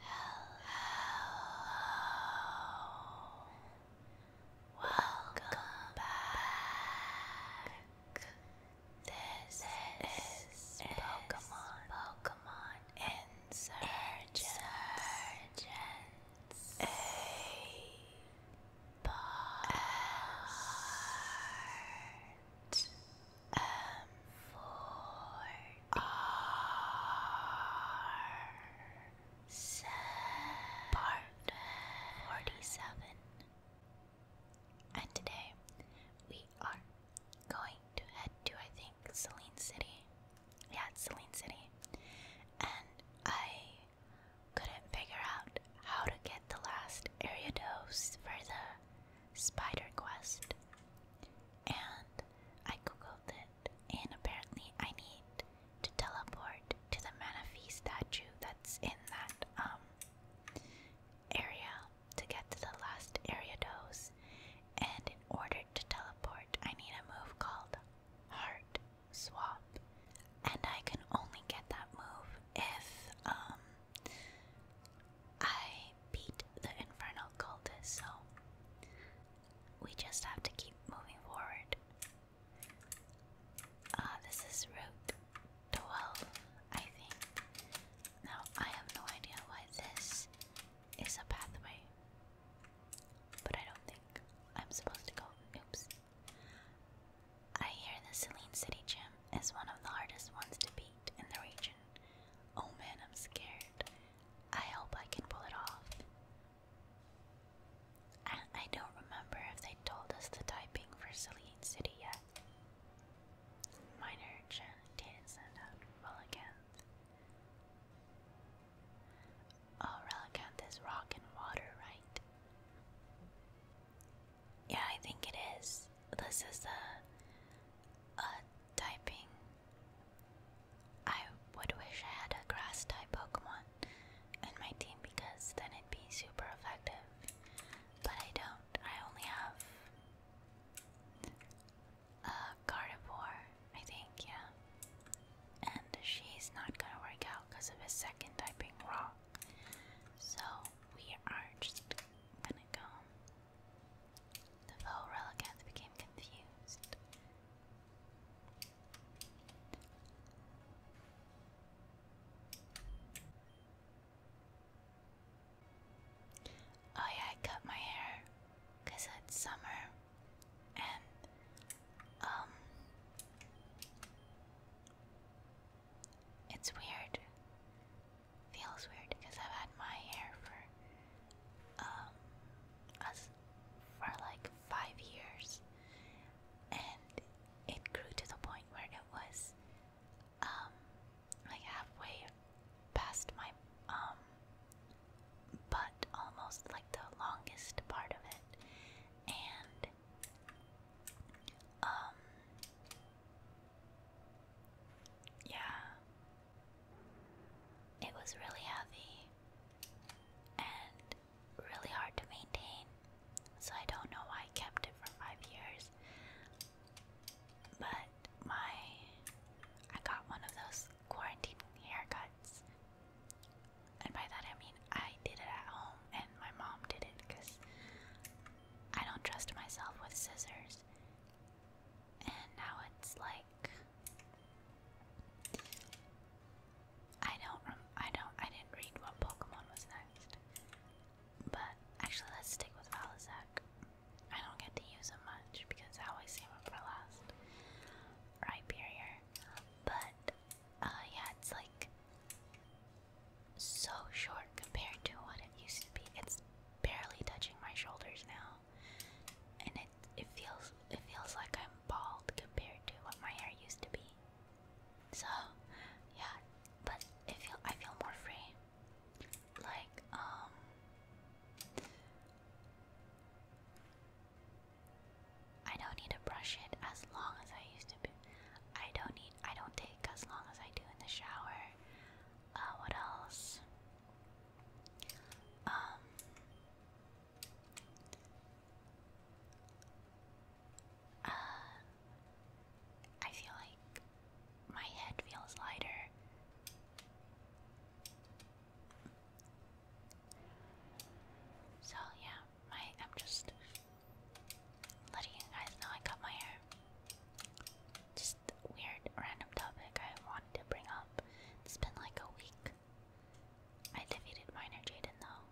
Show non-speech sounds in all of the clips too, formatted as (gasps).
Hello. Welcome back. This, is Pokemon Pokemon Insurgents. A part forty-seven. And today we are going to head to I think Celine City yeah, it's Celine City. And I couldn't figure out how to get the last area dose for the spider quest. And I googled it, and apparently I need to teleport to the Manaphy statue that's in that um area to get to the last area dose, And in order to teleport, I need a move called heart swap, and I can only get that move if um I beat the infernal cultist. So we just have to keep moving forward. Uh, this is route twelve, I think. Now I have no idea why this is a pathway. But I don't think I'm supposed to go. Oops. I hear the Celine City gym is one of the hardest ones to beat in the region. Oh man, I'm scared. I hope I can pull it off. I, don't remember if they told us the typing for Celine City yet. Minor Chen didn't send out well again. Oh, Relicanth is rock and water, right? Yeah, I think it is. This is the a typing. I would wish I had a grass type Pokemon in my team because then it'd be super effective. But I don't. I only have a uh, carnivore, I think, yeah. And she's not gonna work out because of his second typing rock. So we are just gonna go. The foe relicanth became confused. Oh yeah, I cut my hair. Cause it's summer and um it's weird. Feels weird because I've had my hair for um us for like five years and it grew to the point where it was um like halfway past my um but almost like the longest part of it. And um yeah. It was really heavy and really hard to maintain. So I don't know why I kept it for 5 years. But my I got one of those quarantine haircuts. And by that I mean I did it at home and my mom did it because I don't trust myself with scissors. And now it's like I don't I don't I didn't read what Pokemon was next. But actually let's stick with Valisac. I don't get to use him much because I always save him for last. Rhyperior. But uh, yeah, it's like so short compared to what it used to be. It's barely touching my shoulders now. And it it feels it feels like I'm bald compared to what my hair used to be. So yeah, but it feel I feel more free. Like um I don't need to brush it as long as I used to be. I don't need I don't take as long as I do in the shower. Uh what else? Um, uh, I feel like my head feels lighter. So yeah, my I'm just letting you guys know I cut my hair. Just weird random topic I wanted to bring up. It's been like a week. I defeated Minor Jaden though.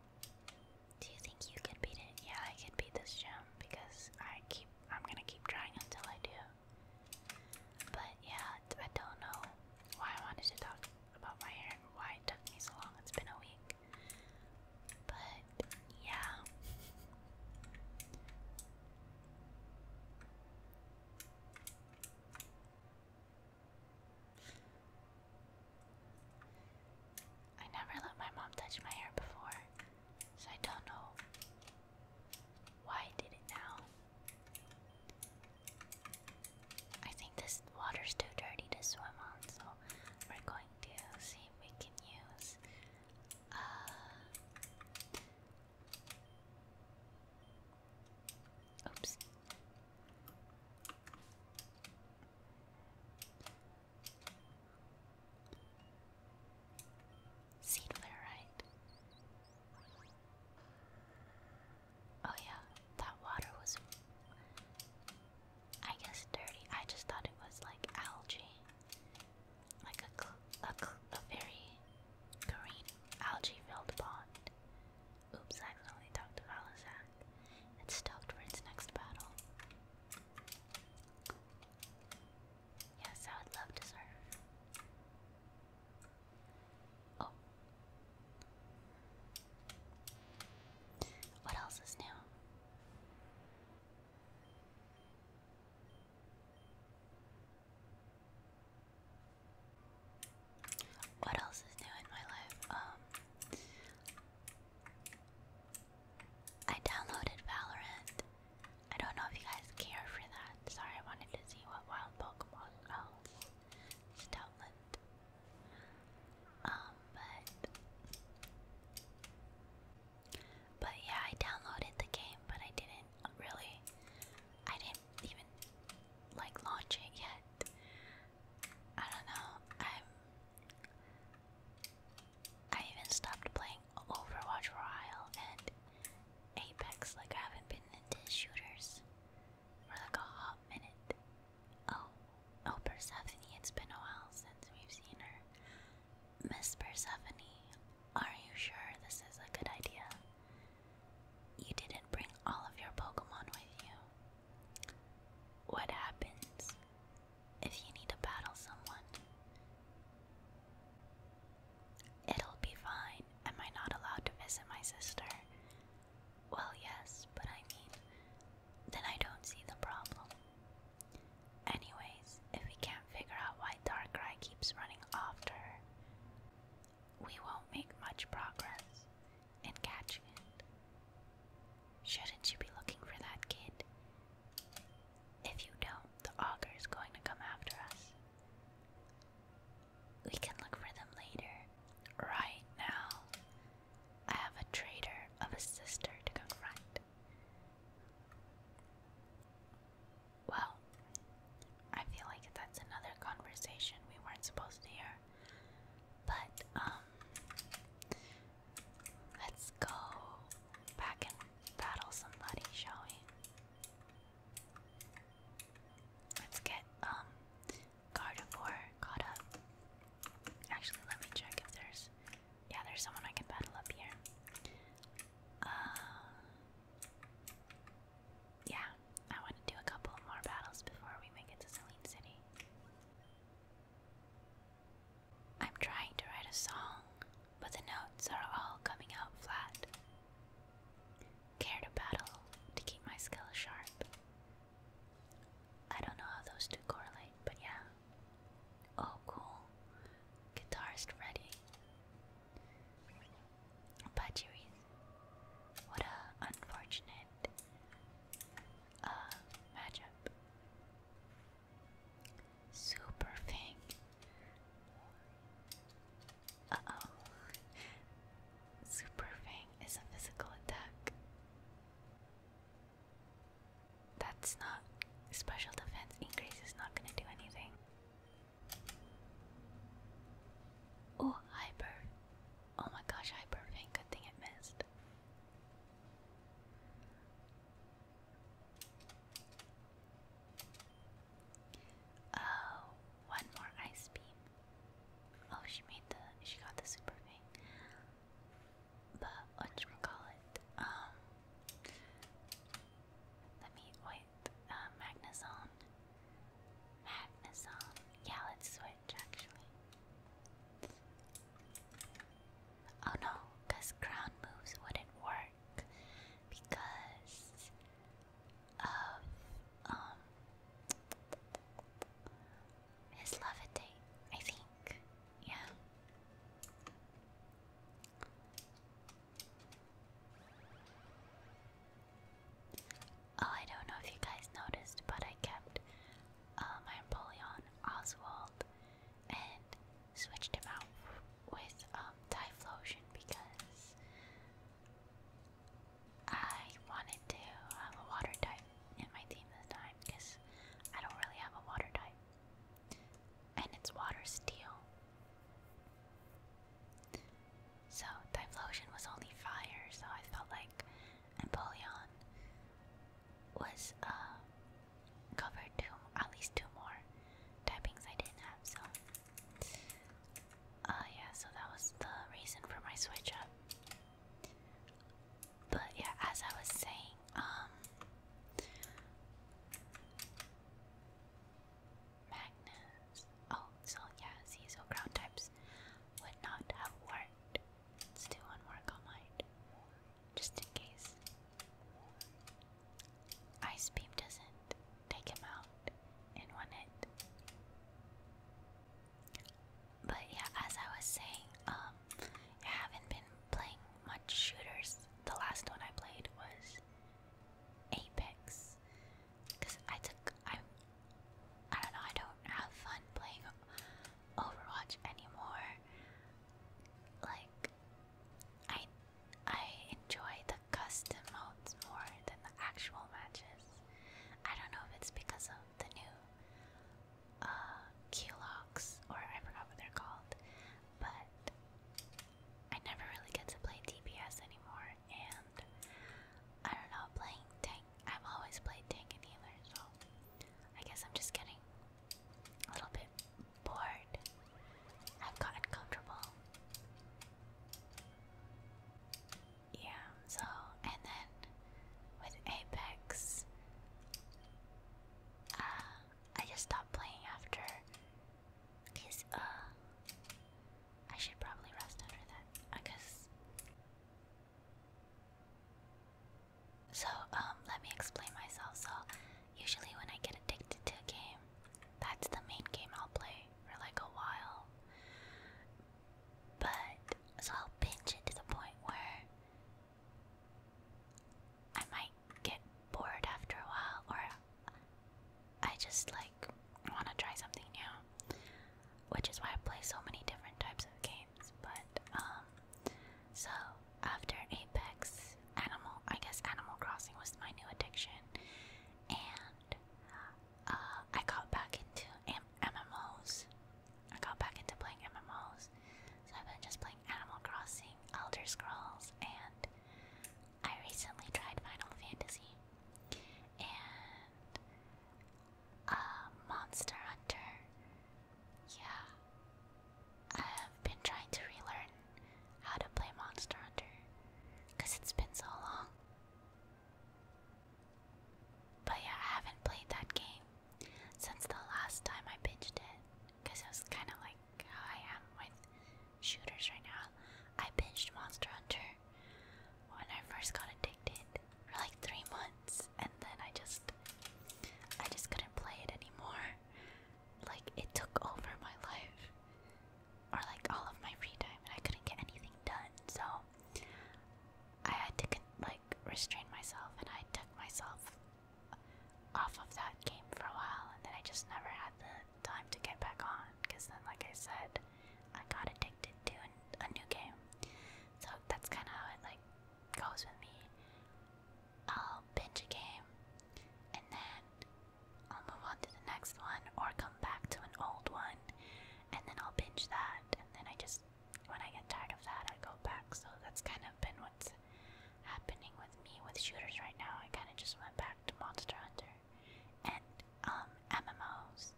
Do you think you could beat it? Yeah, I can beat this gem because I keep I'm gonna keep trying until I do. But yeah, I don't know why I wanted to talk about my hair and why it took me so long. It's been a week. But yeah. I never let my mom touch my hair before, so I don't know why I did it now. I think this water's too dirty to swim on, so we're going to see if we can use uh, Oops. Seed Oh yeah, that water was I guess dirty. I just thought it was like algae. Like a a, very green algae-filled pond. Oops, I accidentally talked to Valazak. It's stoked for its next battle. Yes, I would love to serve. Oh. What else is new? What else is new in my life? Um, I downloaded Valorant. I don't know if you guys care for that. Sorry, I wanted to see what wild Pokemon oh. Stoutland. Um, but but yeah, I downloaded the game, but I didn't really. I didn't even like launch it yet. I don't know. I'm. I even stopped playing Overwatch for a while and Apex. Like I haven't been into shooters for like a hot minute. Oh, oh, Persephone, it's been a while since we've seen her. Miss Persephone, are you sure this is a good idea? You didn't bring all of your Pokemon with you. What happens if you need to battle someone? It'll be fine. Am I not allowed to visit my sister? Well, yes, but I mean, then I don't see the problem. Anyways, if we can't figure out why Darkrai keeps running after her, we won't make much progress in catching it. Shouldn't you be looking for that kid? If you don't, the augur is going to come after us. We can look for them later. Right now, I have a traitor of a sister to confront. Well, I feel like that's another conversation we weren't supposed to hear. But, um, let's go back and battle somebody, shall we? Let's get um Gardevoir caught up. Actually, let me check if there's yeah, there's someone I can battle up here. Uh, yeah, I want to do a couple more battles before we make it to Celine City. I'm trying to write a song, but the notes are all coming out flat. Care to battle to keep my skill sharp. I don't know how those two correlate, but yeah. Oh, cool. Guitarist ready. Pachiris. What a unfortunate uh, matchup. Super Fang. Uh oh. Super is a physical attack. That's not. Special defense increase is not gonna do anything. Oh, Hyper. Oh my gosh, Hyper Good thing it missed. Oh, one more ice beam. Oh, she made the she got the super thing. But whatchamacallit? Um Let me wait, uh Magnezone. Yeah, let's switch actually. Oh no, because ground moves wouldn't work because of um his levitate, I think. Yeah. Oh, I don't know if you guys noticed, but I kept uh, my Napoleon Oswald and switched him out with um, Typhlosion because I wanted to have a water type in my team this time because I don't really have a water type. And it's water steel. So Typhlosion was only fire, so I felt like Napoleon was uh covered two at least two more typings I didn't have, so uh, yeah, so that was the reason for my switch up. But yeah, as I was saying, um, Magnus. Oh, so yeah, see, so ground types would not have worked. Let's do one more on just in case. Ice beam doesn't take him out in one hit. But yeah, as I was saying, um, haven't been playing much shooters. The last one I played was Apex, because I took I, I don't know, I don't have fun playing Overwatch anymore. Like I I enjoy custom modes more than the actual matches. I don't know if it's because of the new uh, key or I forgot what they're called, but I never really get to play DPS anymore, and I don't know, playing tank, I've always played tank and healer, so I guess I'm just getting a little bit bored. I've gotten comfortable yeah, so, and then with Apex, uh, I just stopped playing after, because, uh, I should probably rest after that, I So, um, let me explain myself. So, usually when I get addicted to a game, that's the main game I'll play for like a while. But so I'll pinch it to the point where I might get bored after a while, or I just like want to try something new, which is why I play so many different types of games. But um, so after Apex, Animal, I guess Animal Crossing was my new addiction, and uh, I got back into M MMOs. I got back into playing MMOs. So I've been just playing Animal Crossing, Elder Scrolls, and I recently tried Final Fantasy and uh, Monster Hunter. Yeah. I've been trying to relearn how to play Monster Hunter because it's been so long. But yeah, I haven't played that game since the last time I binged it. Because it was kind of like how I am with shooters right now. I binged Monster Hunter when I first got addicted for like three months, and then I just, I just couldn't play it anymore. Like it took over my life or like all of my free time, and I couldn't get anything done. So I had to like restrain myself, and I took myself off of that game for a while, and then I just never had the time to get back on. Because then, like I said, I got addicted to an, a new game. So that's kind of how it like goes with me. I'll binge a game, and then I'll move on to the next one or come back to an old one and then I'll binge that and then I just when I get tired of that I go back. So that's kind of been what's happening with me with shooters right now. I kinda just went back to Monster Hunter and um MMOs.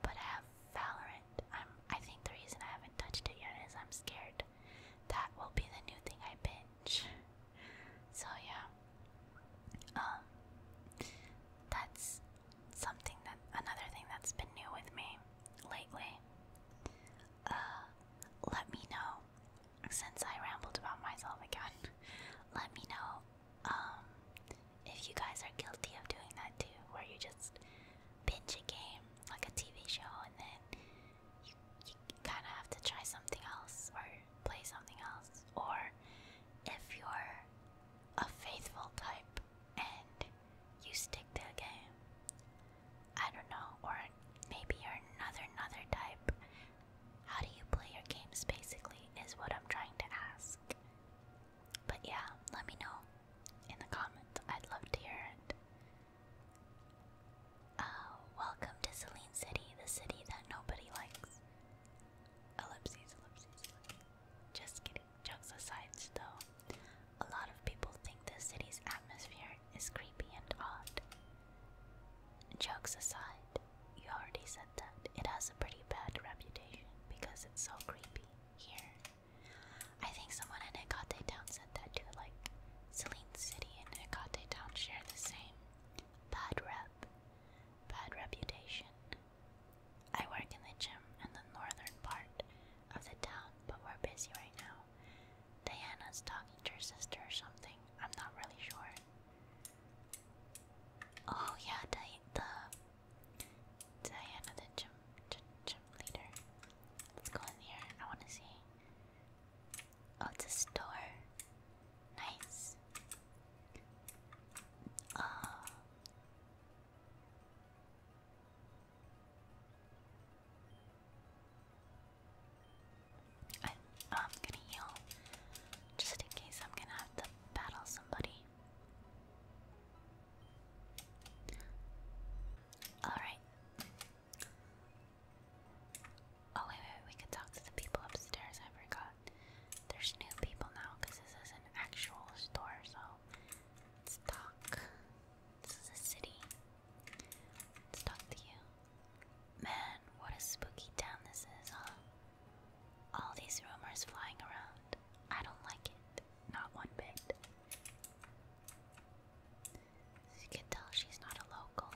But I have Valorant. I'm I think the reason I haven't touched it yet is I'm scared. That will be the new thing I binge. So yeah, um, that's something that another thing that's been new with me lately. Uh, let me know since I rambled about myself again. (laughs) let me know um if you guys are guilty of doing that too, where you just binge a game like a TV show and then you you kind of have to try something else or play something else. Or if you're a faithful type and you stick to a game, I don't know, or maybe you're another another type. How do you play your games basically is what I'm trying to ask. But yeah, let me know in the comments. I'd love to hear it. Uh, welcome to Celine City, the city that nobody likes. Ellipses, ellipses, Just kidding. Jokes aside, though, a lot of people think the city's atmosphere is creepy and odd. Jokes aside, you already said that it has a pretty bad reputation because it's so creepy here. I think someone in Hikate Town said that too, like Celine City and Hikate Town share the same bad rep bad reputation. I work in the gym in the northern part of the town, but we're busy right now. Diana's talking to her sister or something. I'm not really sure. Oh yeah, the Diana, the gym, gym, gym leader. Let's go in here. I want to see. Oh, it's a store. Nice. Uh, I'm gonna heal just in case I'm gonna have to battle somebody. Alright. Oh wait, wait, we can talk to the people upstairs. I forgot. There's new people now this is an actual store. So talk. This is a city. talk to you. Man, what a spooky town this is, huh? All these rumors flying around. I don't like it. Not one bit. you can tell, she's not a local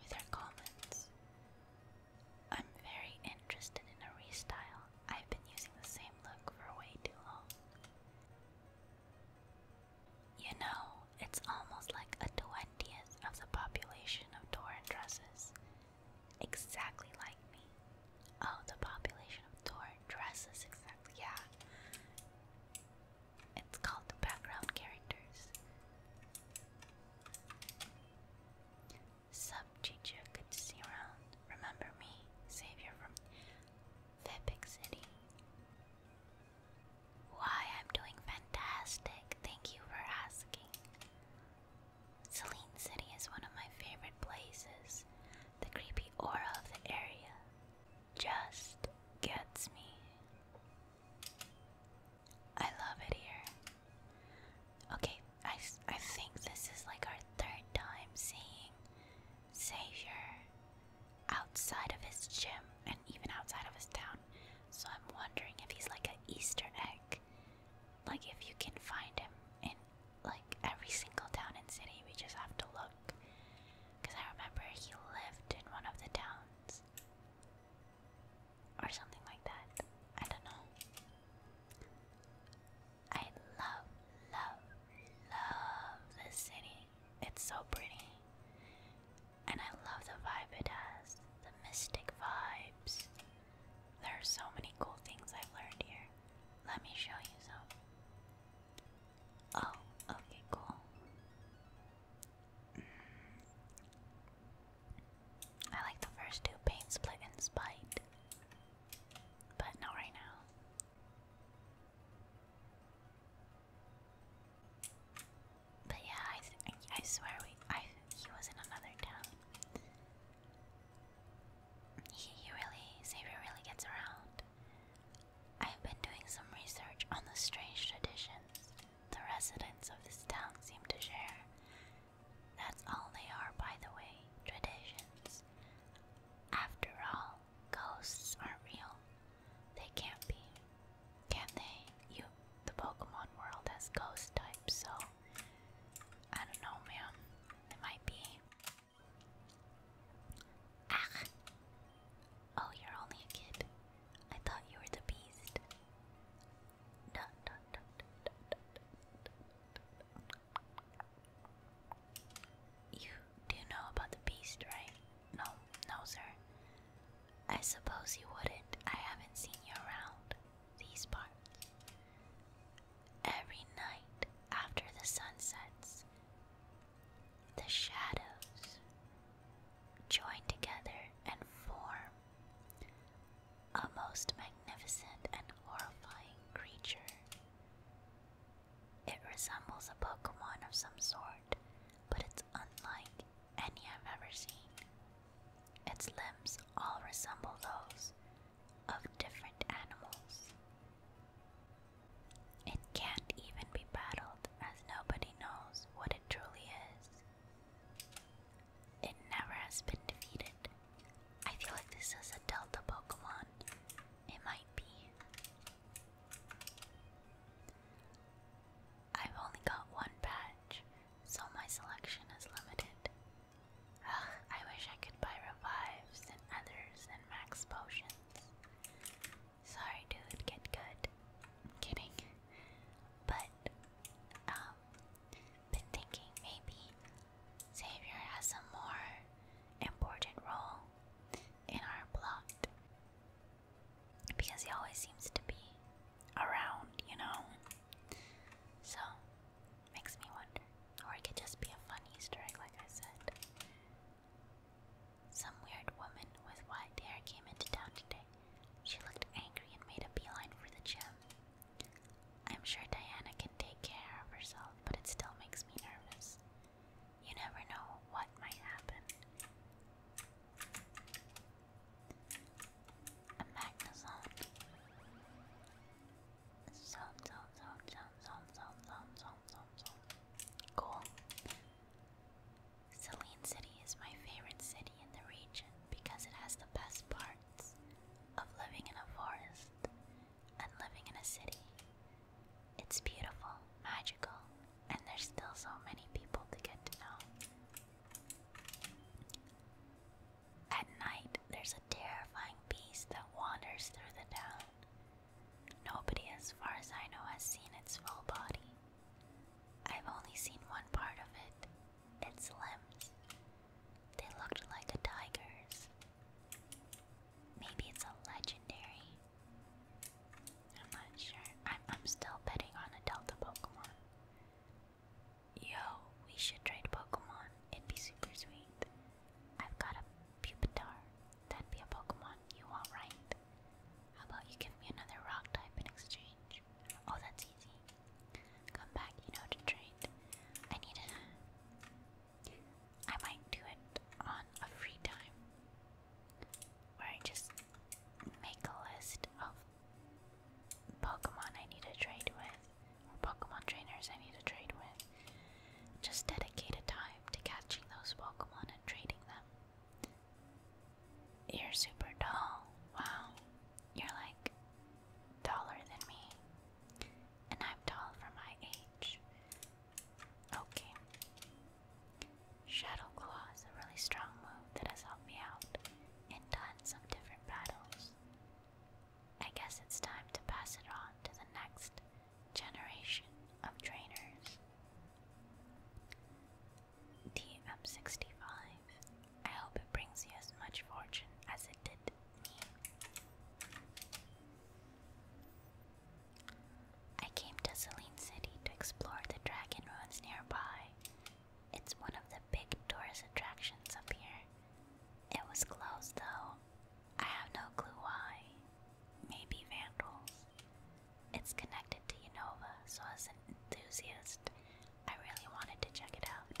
with her comments. I'm very interested in a restyle. I've been using the same look for way too long. You know, it's almost like a twentieth of the population of Torin dresses. Exactly like me. Oh, the population of Torin dresses exactly, yeah. It's called the background characters. Sub teacher, good to see you around. Remember me, savior from Fairpick City. Why, I'm doing fantastic. Thank you for asking. Celine City is one of my favorite places. The creepy aura of the area just gets me. I love it here. Okay, I, I think this is like our third time seeing Savior outside of his gym and even outside of his town. So I'm wondering if he's like an Easter egg. Like if you can find him in like every single town and city, we just have to look. Because I remember he lived in one of the towns or something like that. I don't know. I love, love, love this city. It's so pretty. And I love the vibe it has, the mystic vibes. There are so many cool things I've learned here. Let me show you some. Oh, okay, cool. Mm. I like the first two paint split and spite, but not right now. But yeah, I swear we I he was in another town. He, he really Xavier really gets around. I've been doing some research on the strange traditions the residents of this town seem to share, that's all they are, by the way, traditions. After all, ghosts aren't real. They can't be. Can they? You the Pokemon world has ghost types, so I don't know, man. It might be. Ah! Oh, you're only a kid. I thought you were the beast. You do know about the beast, right? No, no, sir. I suppose you wouldn't. I haven't seen you around these parts. Every night after the sun sets, the shadows join together and form a most magnificent and horrifying creature. It resembles a Pokemon of some sort, but it's unlike any I've ever seen. Its limbs all resemble those of different animals. It can't even be battled, as nobody knows what it truly is. It never has been defeated. I feel like this is a Delta Pokemon. It might be. I've only got one badge, so my selection is limited. Ugh, I wish I could buy revives and others and max potions. Sorry, dude, get good. I'm kidding. But, um, been thinking maybe Xavier has a more important role in our plot because he always seems to be around, you know. So makes me wonder, or it could just be a fun Easter egg, like I said. Some weird woman with white hair came into town today. She looked angry and made a beeline for the gym. I'm sure Diana can take care of herself, but it still makes me nervous. You never know what might happen. A magnazone. Zone, zone, zone, zone, zone, zone, zone, zone, zone, Cool. Celine City is my favorite city in the region because it has the best parts of living in a forest and living in a city. It's beautiful, magical, and there's still so many people to get to know. At night, there's a terrifying beast that wanders through the town. Nobody, as far as I know, has seen its full body. I've only seen one part of it, its limbs. They looked like a tiger's. Maybe it's a legendary. I'm not sure. I'm, I'm still betting on a Delta Pokemon. Yo, we should trade Pokemon. It'd be super sweet. I've got a Pupitar. That'd be a Pokemon you want, right? How about you give me another rock type in exchange? Oh, that's easy. Come back, you know, to trade. I need a. I might do it on a free time where I just make a list of Pokemon I need to trade with, or Pokemon trainers I need to trade with. Just dedicate a time to catching those Pokemon and trading them. You're super tall. Wow. You're like taller than me. And I'm tall for my age. Okay. Shadow Claw is a really strong move that has helped me out in tons of different battles. I guess it's time to pass it on to the next generation of trainers. TM65. I hope it brings you as much fortune as it did me. I came to Celine City to explore the dragon ruins nearby. It's one of the big tourist attractions up here. It was closed though. I have no clue why. Maybe vandals. It's connected to Unova, so as an enthusiast, I really wanted to check it out.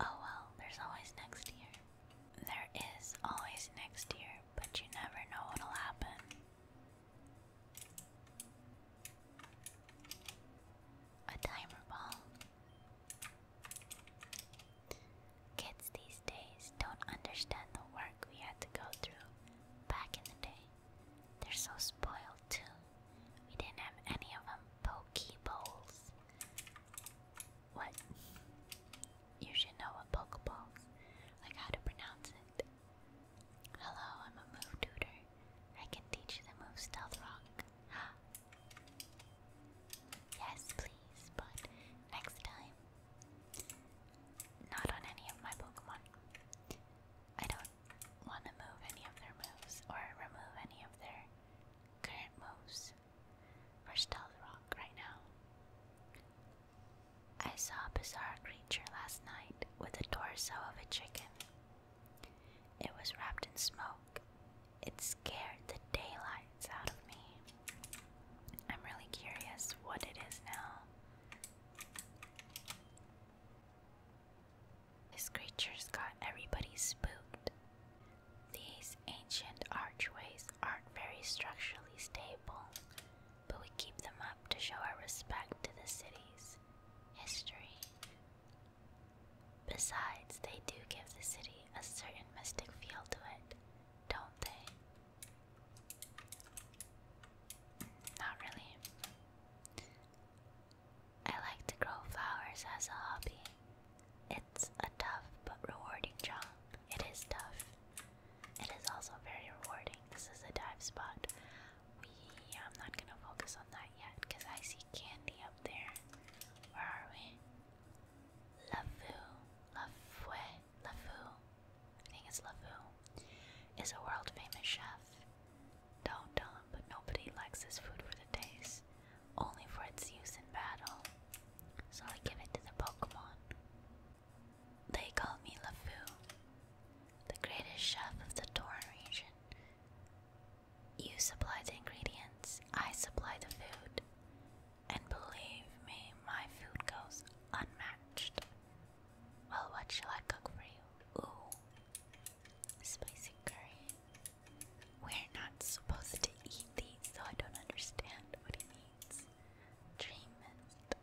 Oh well, there's always next year. There is always next year, but you never know what'll happen. A timer ball. Kids these days don't understand the work we had to go through back in the day. They're so spoiled too. We didn't have any of them. Pokeballs. What? You should know what Pokeballs. Like how to pronounce it. Hello, I'm a move tutor. I can teach you move Stealth Rock. yes, please, but next time. Not on any of my Pokemon. I don't want to move any of their moves or remove any of their current moves for Stealth Rock right now. I saw a bizarre creature last night with the torso of a chicken. It was wrapped in smoke. It scared the daylights out of me. I'm really curious what it is now. These creatures got everybody spooked. These ancient archways aren't very structurally stable, but we keep them up to show our respect to the city's history. Besides, they do give the city a certain mystic feel to it, don't they? Not really. I like to grow flowers as a hobby. It's a tough but rewarding job. It is tough. It is also very rewarding. This is a dive spot. We I'm not gonna focus on that yet because I see candy up there. Where are we? Lafu. La Lafu. I think it's Lafu. Is a world famous chef. Don't tell him, but nobody likes this food for the taste, only for its use in battle. So I give it to the Pokemon. They call me LeFou, the greatest chef of the Torin region. You supply the ingredients, I supply the food. And believe me, my food goes unmatched. Well, what shall I cook for you? Ooh, Spicy curry. We're not supposed to eat these, so I don't understand what he means. Dream mist.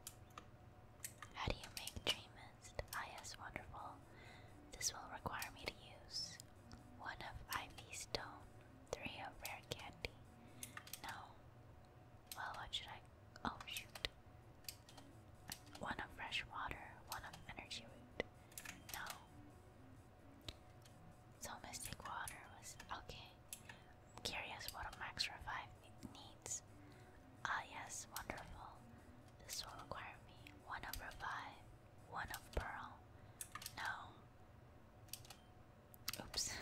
How do you make dream mist? Ah, wonderful. This will require me to use one of ivy stone, three of rare candy. No. Well, what should I? Oh shoot! One of fresh water, one of energy root. No. So water was okay. I'm curious what a max revive needs. Ah yes, wonderful. This will require me one of revive, one of pearl. No. Oops. (laughs)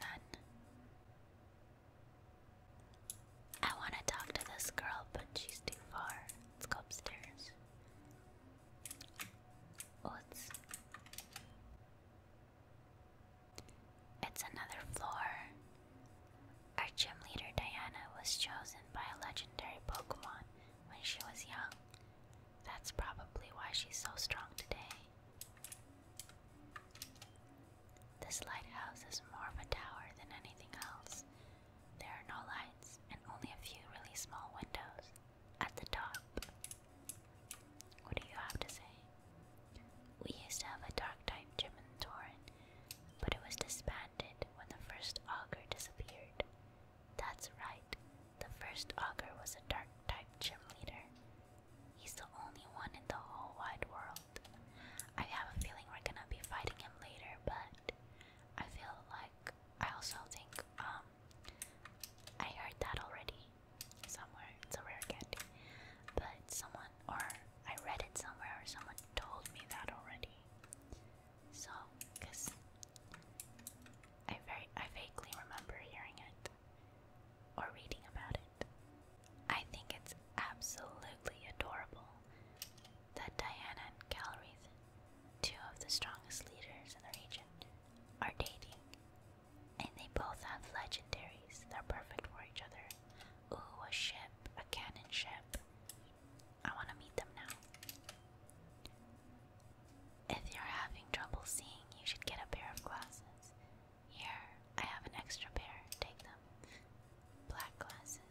None. I want to talk to this girl, but she's too far. Let's go upstairs. Oh, it's. It's another floor. Our gym leader Diana was chosen by a legendary Pokemon when she was young. That's probably why she's so strong today. This lighthouse is more of a tower than anything else. There are no lights and only a few really small windows at the top. What do you have to say? We used to have a dark type gym in Torin, but it was disbanded when the first auger disappeared. That's right, the first auger was a dark type gym leader, He's the only one in the whole wide world. I have a feeling we're gonna be fighting him later, but I feel like I also think um I heard that already somewhere. It's a rare candy, but someone or I read it somewhere or someone told me that already. So, cause I very I vaguely remember hearing it or reading about it. I think it's absolutely adorable that Diana and Calrith, two of the strongest leaders in the region, are dating. And they both have legendaries they are perfect for each other. Ooh, a ship, a cannon ship. I want to meet them now. If you're having trouble seeing, you should get a pair of glasses. Here, I have an extra pair. Take them. Black glasses.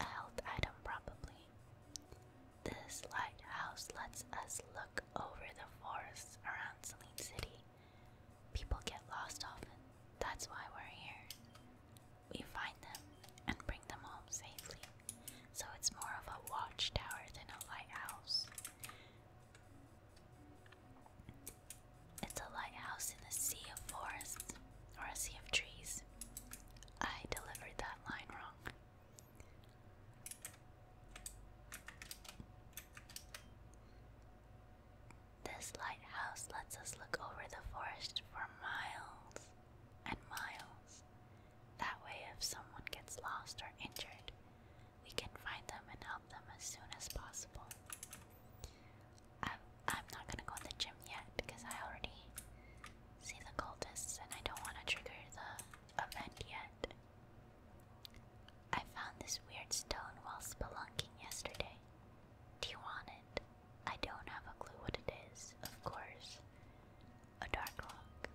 A health item, probably. This lighthouse lets us look over the forests around Celine City. People get lost often. That's why we're here. We find them and bring them home safely. So it's more of a watchtower than a lighthouse. It's a lighthouse in a sea of forests or a sea of trees. I delivered that line wrong. This lighthouse lets us look over the forest for miles and miles. That way, if someone gets lost or injured, we can find them and help them as soon as possible. I'm, I'm not gonna go in the gym yet because I already see the cultists and I don't want to trigger the event yet. I found this weird stone while spelunking yesterday. Do you want it? I don't have a clue what it is, of course. A dark rock.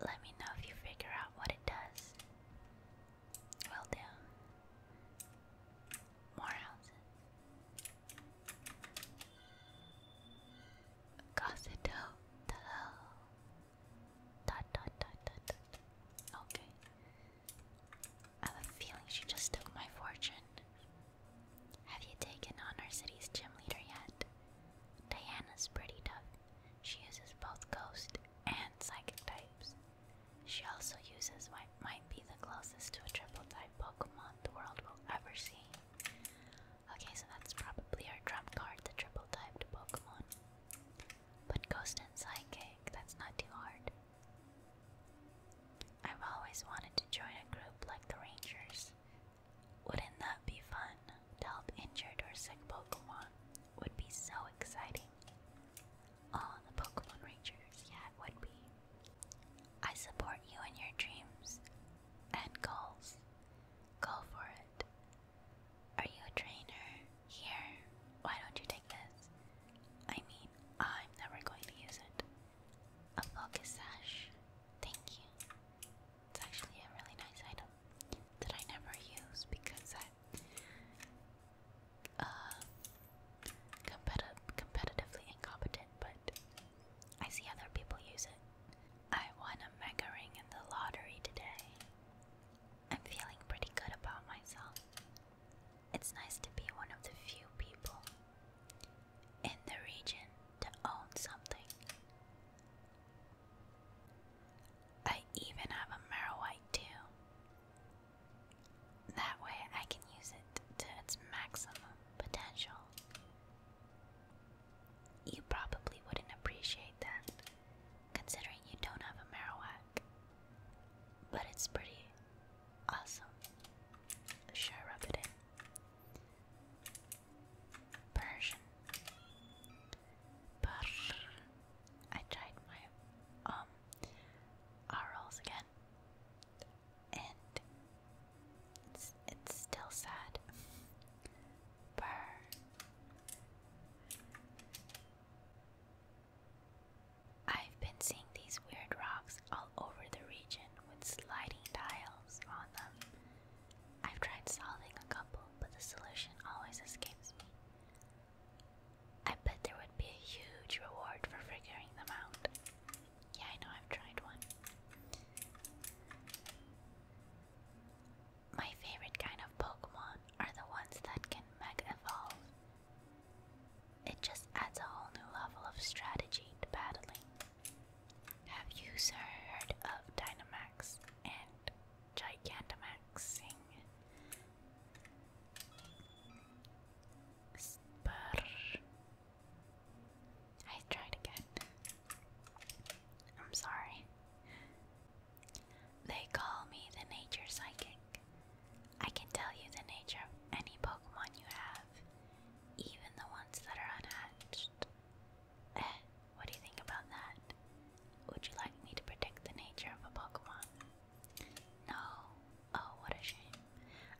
Let me know if you figure out what it does. Will do. More houses. Gossito. Dot dot dot dot dot. Okay. I have a feeling she just took my fortune. Have you taken on our city's gym leader yet? Diana's pretty tough. She uses both ghost and psychic types. She also uses what might be the closest to a triple type Pokemon the world will ever see. Okay, so that's probably our trump card, the triple typed Pokemon. But Ghost and Psychic, that's not too hard. I've always wanted to join a group like the Rangers. Wouldn't that be fun? To help injured or sick Pokemon would be so exciting. Oh, the Pokemon Rangers, yeah, would be. I support you in your dreams and goals. Go for it. Are you a trainer? Here, why don't you take this? I mean, I'm never going to use it. A focus sash. Thank you. It's actually a really nice item that I never use because i uh, competi competitively incompetent, but I see other people use it. I won a mega ring in the lottery today. I'm feeling pretty good about myself. It's nice to be one of the few people in the region to own something. I even have a Marowite too. That way I can use it to its maximum potential. You probably wouldn't appreciate that, considering you don't have a Marowak. But it's pretty awesome. Sure, rub it in. Persian. Brr. I tried my um R rolls again. And it's it's still sad. Brr. I've been seeing these weird rocks all over the region with sliding tiles on them. I've tried solving a couple, but the solution always escapes me. I bet there would be a huge reward for figuring them out. Yeah, I know I've tried one. My favorite kind of Pokemon are the ones that can mega evolve. It just adds a whole new level of strategy to battling. Have you heard of Dynamax and Gigantamaxing. Spur. I tried again. I'm sorry. They call me the nature psychic. I can tell you the nature of any Pokemon you have, even the ones that are unhatched. Eh, what do you think about that? Would you like me to predict the nature of a Pokemon? No. Oh, what a shame.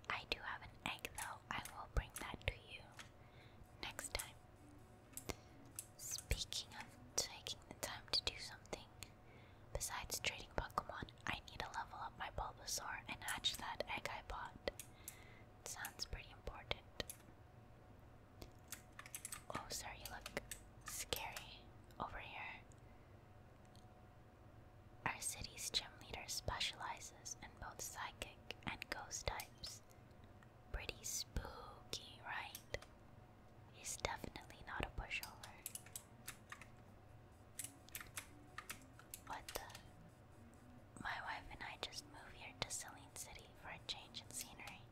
I do have an egg though. I will bring that to you next time. Speaking of taking the time to do something, besides trading Pokemon, I need to level up my Bulbasaur and hatch that egg I bought. Sounds pretty important. Oh, sorry, you look scary over here. Our city's gym leader specializes in both psychic and ghost types. Pretty spooky, right? He's definitely not a pushover. What the? My wife and I just moved here to Celine City for a change in scenery.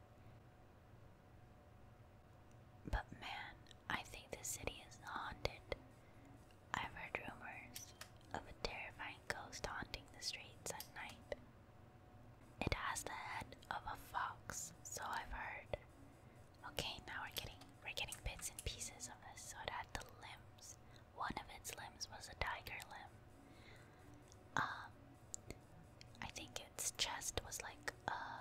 But man, I think the city is haunted. I've heard rumors of a terrifying ghost haunting the streets at night. It has the head of a fox, so I've heard. Okay, now we're getting we're getting bits and pieces of this. So it had the limbs. One of its limbs was a tiger limb. Um, I think its chest was like uh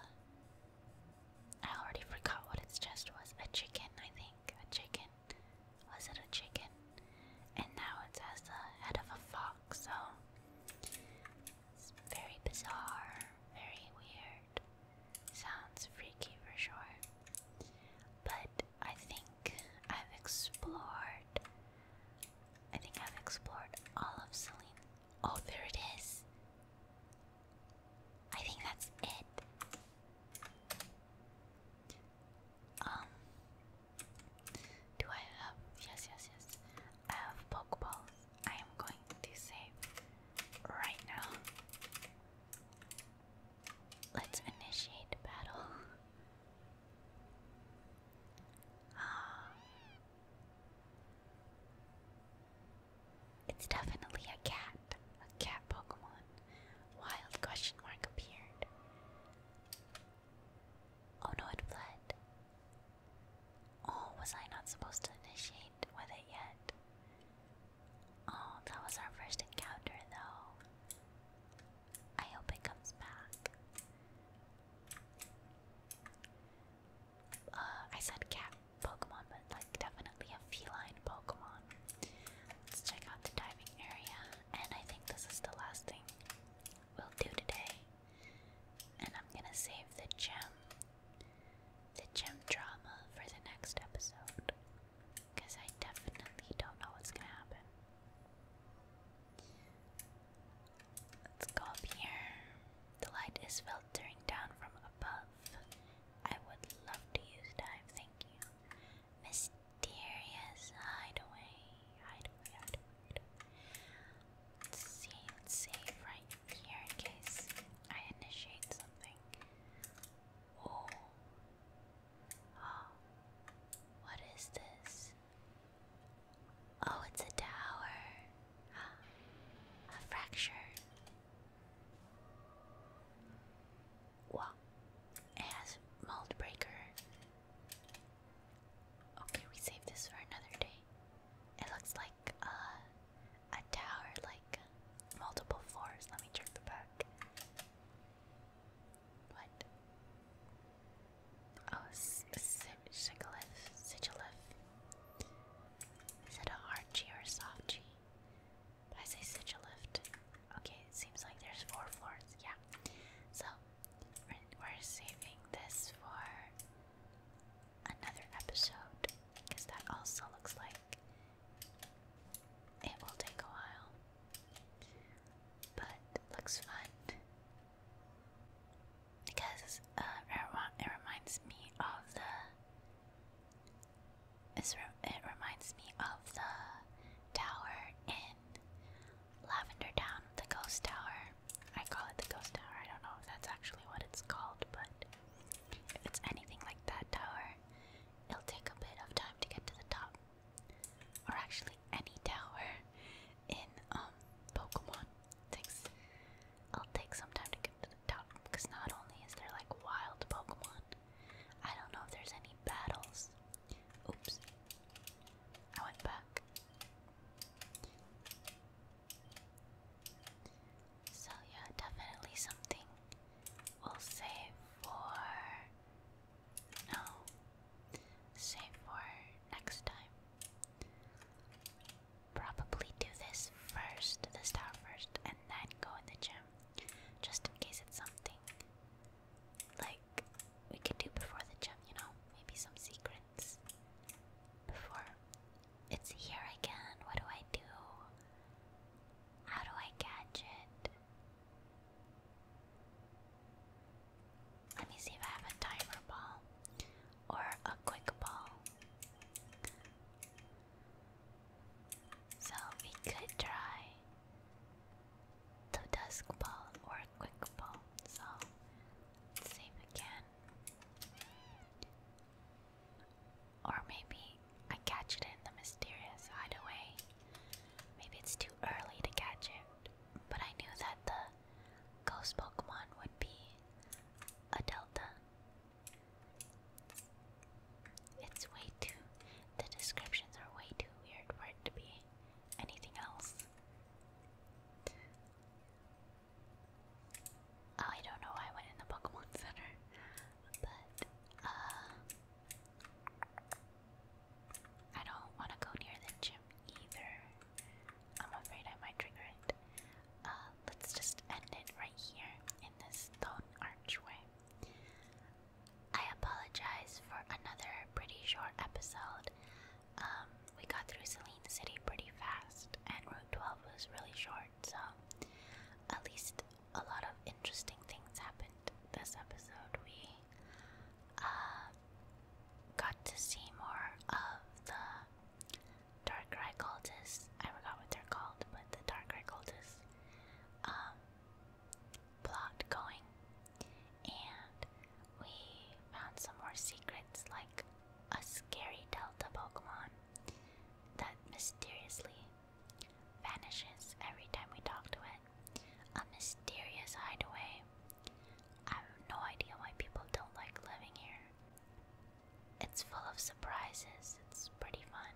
I already forgot what its chest was. A chicken, I think. A chicken. Was it a chicken? And now it's as the head of a fox, so it's very bizarre, very weird. Sounds freaky for sure. But I think I've explored I think I've explored all of Celine. Oh, there it is. I think that's it. Um, do I have? Yes, yes, yes. I have Pokeballs. I am going to save right now. Let's initiate battle. (gasps) It's definitely a cat. A cat Pokemon. Wild question mark appeared. Oh no, it fled. Oh, was I not supposed to initiate with it yet? Oh, that was our first encounter though. I hope it comes back. Uh, I said cat Pokemon, but like definitely a feline Pokemon. Let's check out the diving area, and I think this is the last thing we'll do today. And I'm gonna save the gem, the gem drama for the next episode, because I definitely don't know what's gonna happen. Let's go The light is filtering down from above. I would love to use dive, thank you. Mysterious hideaway. Hideaway, see, let save right here in case I initiate something. Oh. Oh. What is this? Oh, it's a tower. A fracture. Wow. It has mold breaker. Okay, we save this for another day. It looks like uh, a tower, like multiple floors. Let me check the back. What? Oh, sigilif, sigilif. Is it a hard G or a soft G? I say sigilift. Okay, it seems like there's four floors. Yeah. So we're saving this for another episode because that also looks like it will take a while, but looks fun because uh, it reminds me of the. it reminds me of the tower in Lavender Town, the Ghost Tower. I call it the Ghost Tower. I don't know if that's actually what it's called, but if it's anything like that tower, it'll take a bit of time to get to the top or actually any tower in um Pokemon. Takes I'll take some time to get to the top because not only is there like wild Pokemon, I don't know if there's any battles. Oops. I went back. So yeah, definitely something we'll save for Oh, save for next time. Probably do this first, this tower first, and then go in the gym. Just in case it's something like we could do before the gym, you know? Maybe some secrets. Before it's here again, what do I do? How do I catch it? Let me see if I have a timer ball or a quick ball. So we could try the dusk ball or a quick ball. So save again. Or maybe I catch it in the mysterious hideaway. Maybe it's too early to catch it. But I knew that the ghost Pokemon would be a Delta. It's way too. The descriptions are way too weird for it to be anything else. Oh, I don't know why I went in the Pokemon (laughs) Center, but uh, I don't want to go near the gym either. I'm afraid I might trigger it. Uh, let's just end it right here in this stone archway. I apologize for another pretty short episode. Um, we got through Celine City pretty fast, and Route 12 was really short, so at least a lot of interesting things happened this episode. We uh, got to see more of the dark Rai I forgot what they're called, but the dark Rai cultists um, plot going, and we found some more secrets like a scary Delta Pokemon that mysteriously vanishes every time we talk to it. A mysterious hideaway I have no idea why people don't like living here. It's full of surprises, it's pretty fun.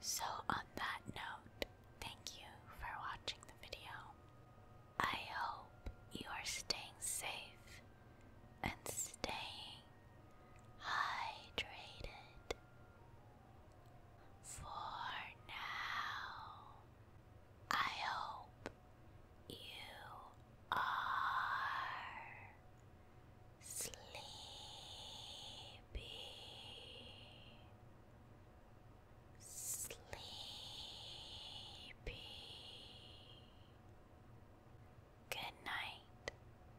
So, on that note, thank you for watching the video. I hope you are staying safe and staying hydrated for now. I hope you are sleepy. Sleepy. Good night.